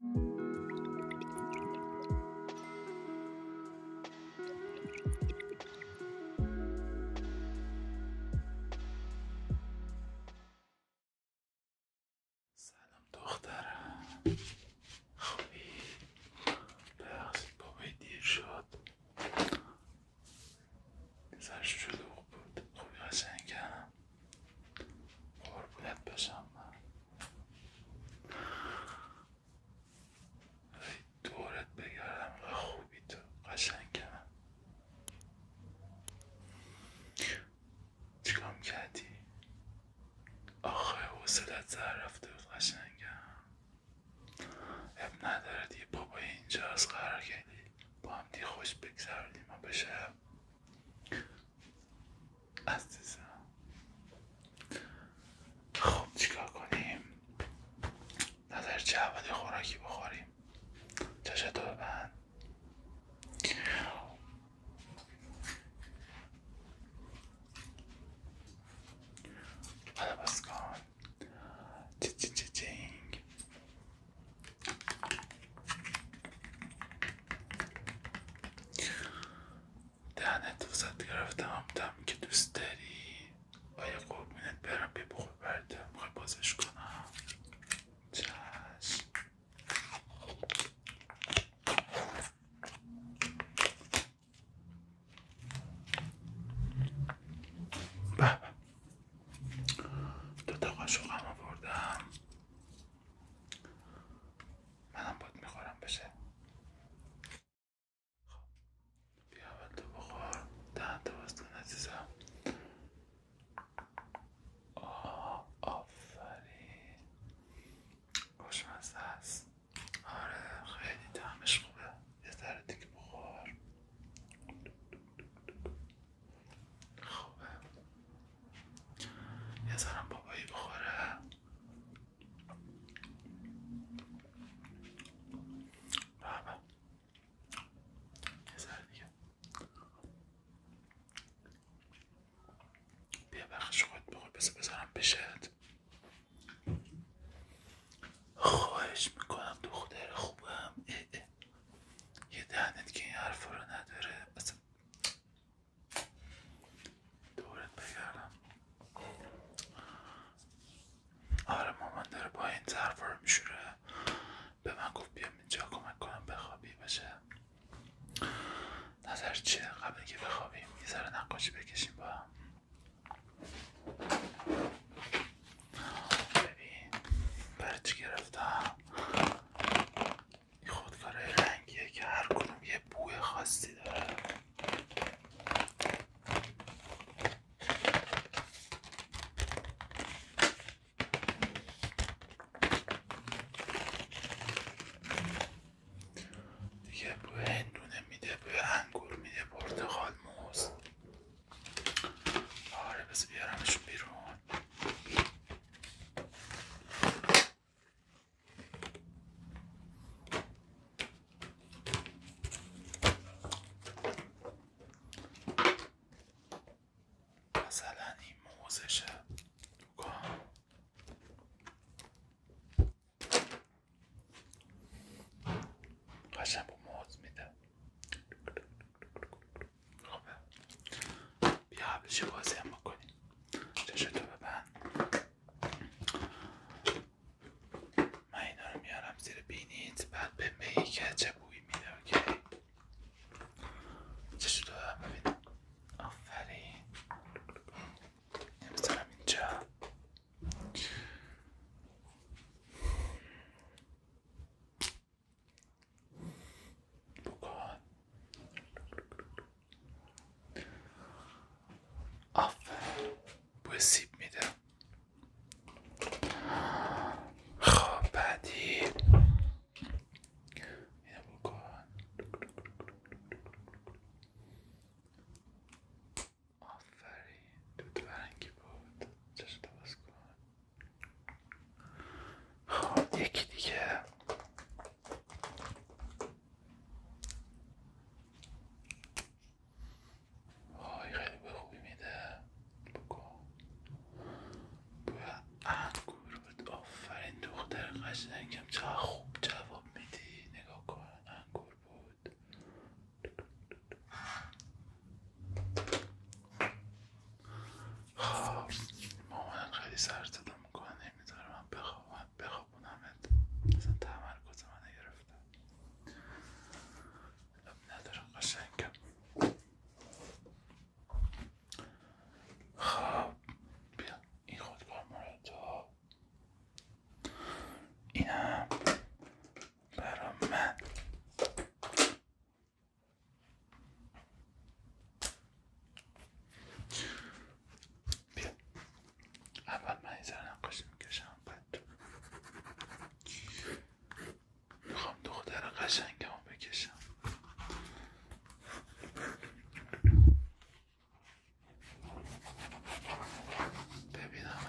سلام دخترم خوبی؟ ببخشید بابای شد سرش بود خوبی قشنگم قربونت بشم من دورت بگردم و خوبی تو قشنگم چیکام کردی؟ آخه حوصلت زر رفته بود قشنگم اب ندارد بابای اینجا از قرار کردی با هم خوش بگذردی ما به عزیزم خوب چیکار کنیم نظر چه خوراکی بخوریم چشتو ببند حالا بس کن چی چی چی چینگ دهنت وسط گرفتم هم که دوست داری آیا قربونت برم بیا بخور برده میخوای بازش کنم چشم به دوتا قاشق هم بردم منم باد میخورم بشه خب بیا تو بخور دهن تو بستون عزیزم آه آفرین خوشمزه هست آره خیلی تمش خوبه یه دیگه بخور خوبه یه سرم بابایی بخوره بابا یه سر دیگه بیا بخش خود بخور بسه بذارم بشد خواهش میکنم دختر خوبم یه دهنت که این حرف رو نداره اصلا دورت بگردم آره مامان داره با این حرف رو میشوره به من گفت بیام اینجا کمک کنم بخوابی باشه نظر چه قبل که بخوابیم یه ذره نقاشی بکشیم با هم ببین برای گرفتم این خودکاره رنگیه که هر کدوم یه بوی خاصی داره دیگه بو هندونه میده بوی انگور میده پرتقال موز آره بس بیارمشون بیرون مثلا این موزشه قشنگ موز میده خوبه بیا قبلش بازی هم بکنیم چشتو ببند من اینا رو میارم زیر بینید بعد به میگی که چه بویی میده اوکی چشتو ببند ببین آفرین نمیذارم اینجا بکن آفرین بوی سیب میده خب بعدی اینو بکن آفرین دود برنگی بود چشم باز کن خب یکی دیگه آی خیلی به خوبی میده بگو بوی انگور بود آفرین دختر قشنگم چه خوب جواب میدی نگاه کن انگور بود خب مامانم خیلی سر صدا میکنه نمیذاره من بخواب بخوابونمت اصلا تمرکز منو گرفته لب ندارم قشنگم خب بیا این خودکار مورد هم برا من بیا اول من این سر نقاشی میکشم بعد میخوام دختر قشنگم بکشم ببینم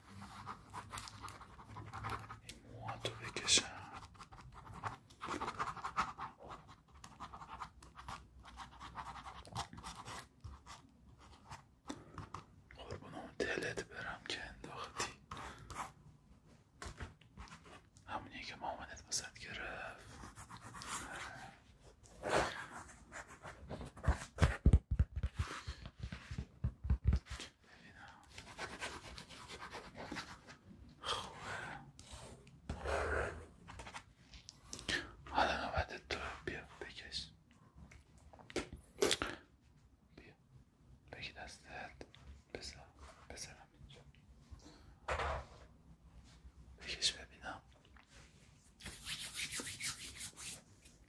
این موهاتو بکشم قربونم دلت برم که انداختی همونی که محمدت وسط گرفت حالا نوبت تو بیا بکش بیا بگی دستت بس بکش ببینم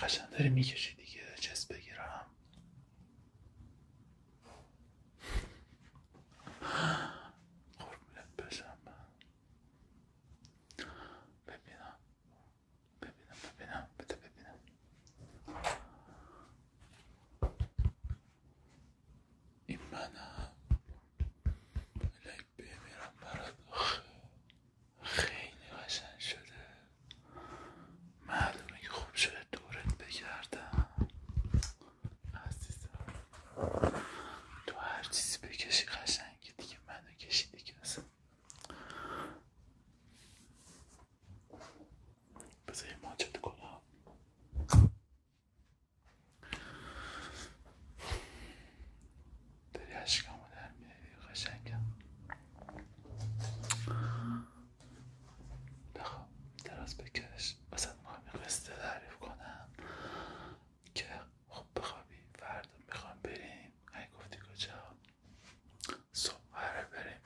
قشنگ داری میکشی دیگه چست بگیرم قربونت بشم ببینم ببینم ببینم بده ببینم این منم الهی خیلی قشنگ شده معلومه که خوب شده دورت بگردم عزیزم تو هر چیزی بکشی که دیگه منو کشیدی که اصلا بذار یه ماجد کنم داری عشقمو در میاری قشنگم بخواب دراز بکش واسه ما قصه تعریف کنم که خب بخوابی فردا میخوام بریم اگه گفتی کجا صبح قرار بریم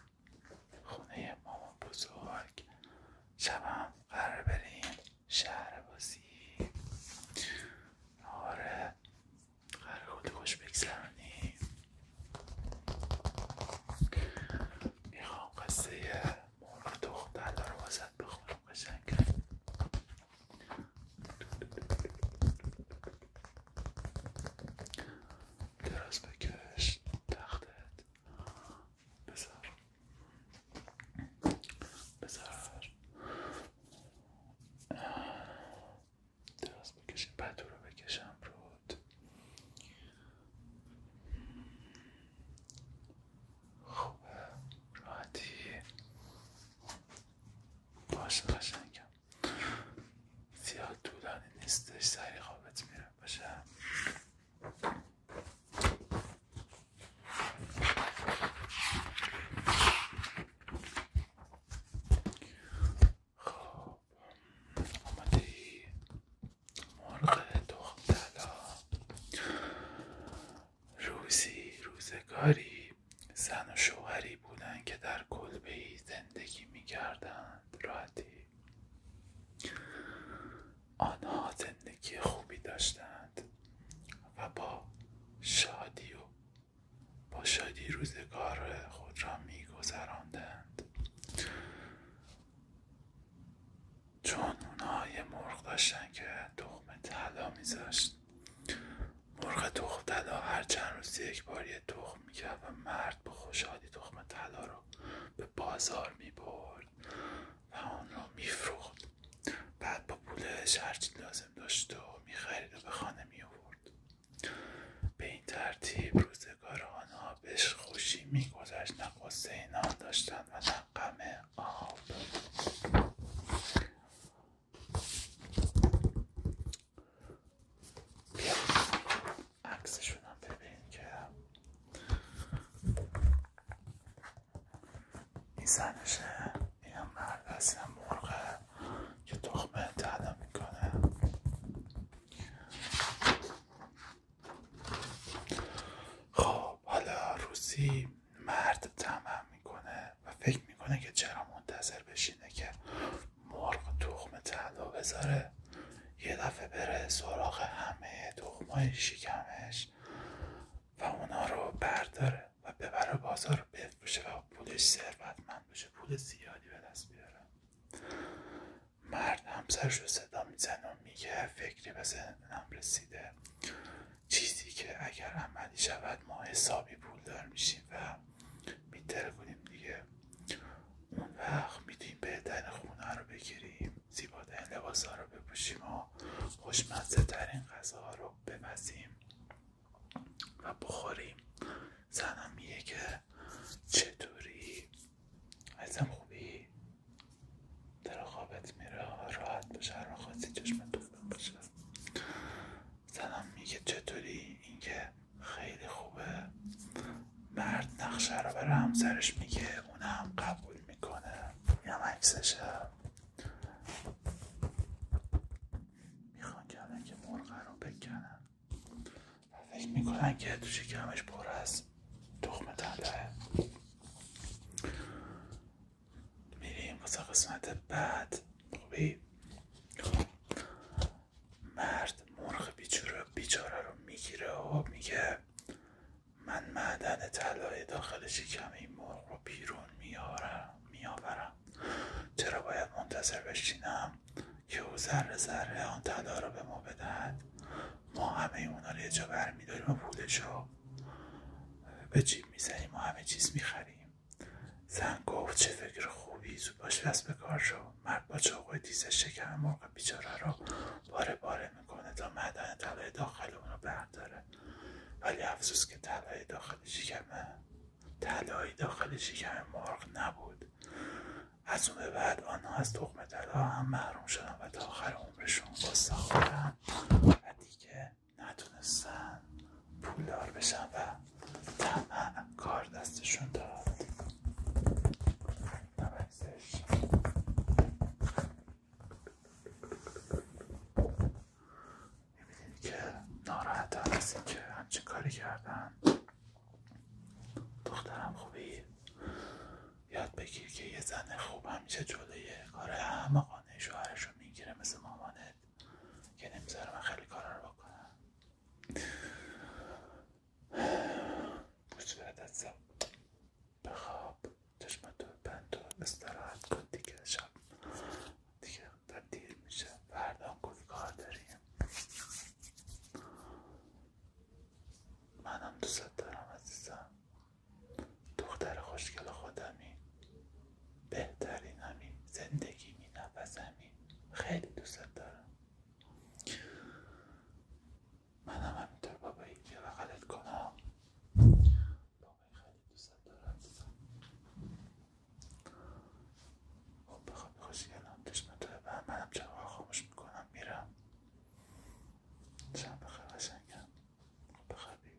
خونه مامان بزرگ شبم قرار بریم شهر بازی آره قرار کلی خوش بگذرانی میخوام قصه مرغ دختر رو واسط بخونم قشنگ درست بکش تختت بذار بذار دراز بکشیم پتو رو بکشم رود خوبه راحتی باشه قشنگم زیاد طولانی نیستش سری خوابت میره باشه خب آمده ای مرغ تخم روزی روزگاری زن و شوهری بودند که در کلبه زندگی می راحتی آنها زندگی خوبی داشتند و با شادی و با شادی روزگار خود را میگذراندند چون اونها یه مرغ داشتن که تخم طلا میذاشت مرغ تخم طلا هر چند روز یک بار یه تخم میکرد و مرد با خوشحالی تخم طلا رو به بازار میبرد و آن را میفروخت بعد با پولش هرچی لازم لازم داشت و میخرید و به خانه میورد به این ترتیب روزگار آنها بهش خوشی میگذشت نه قصه نان و نه آب بیا عکسشون هم ببین که این زنشه این هم مرد هست هم مرغه که تخمه میکنه خب حالا روسی مرد تمام میکنه و فکر میکنه که چرا منتظر بشینه که مرغ تخم تلا بذاره یه دفعه بره سراغ همه تخمای شکمش و اونا رو برداره و ببره بازار بفروشه و پولش ثروتمند بشه پول زیادی به دست بیاره مرد همسرش رو صدا میزنه و میگه فکری به ذهنم رسیده چیزی که اگر عملی شود ما حسابی پول دار میشیم و میتره دیگه اون وقت میتونیم بهترین خونه رو بگیریم زیباترین لباس ها رو بپوشیم و خوشمزه ترین غذا رو رو و بخوریم زنم میگه که چطوری ازم خوبی در میره راحت باشه هر خواستی چشم تو باشه زنم میگه چطوری اینکه خیلی خوبه مرد نقشه رو برای همسرش میگه اونم قبول میکنه یا عکسشه میخوان که که مرغه رو بکنن و فکر میکنن که تو شکمش پر از تخمه میریم واسه قسمت بعد خوبی مرد مرغ بیچاره رو میگیره و میگه من معدن طلای داخل شکم این مرغ رو بیرون میارم میآورم چرا باید منتظر بشینم که او ذره ذره آن طلا را به ما بدهد ما همه اونا رو یه جا برمیداریم و پولش رو به جیب میزنیم و همه چیز میخریم زن گفت چه فکر خوبی زود باش دست به کار شو مرد با چاقوی دیزه شکم مرغ بیچاره را باره باره میکنه تا مدن طلای داخل اون رو برداره ولی افسوس که طلای داخل شکمه طلای داخل شکم مرغ نبود از اون به بعد آنها از تخم طلا هم محروم شدن و تا آخر عمرشون قصه خوردن و دیگه نتونستن پولدار بشن و تمام کار دستشون داد میبینید که ناراحت هستی که همچین کاری کردن دخترم خوبی یاد بگیر که یه زن خوب همیشه جلوی کار همه قانه شوهرش رو میگیره مثل مامانت که نمیذاره من خیلی کارا رو بکنم به خواب بند و استراحت کن دیگه شب دیگه در میشه فردا کلی کار داریم منم دوست دارم عزیزم دختر خوشگل خودمی بهترینمی زندگی می نفسمی خیلی دوست دارم منم همینطور بابایی که بغلت کنم بابایی خیلی دوست دارم خب بخوابی خوشگلم چشمتو ببند منم چراغ خاموش میکنم میرم شب بخیر قشنگم خب، بخوابی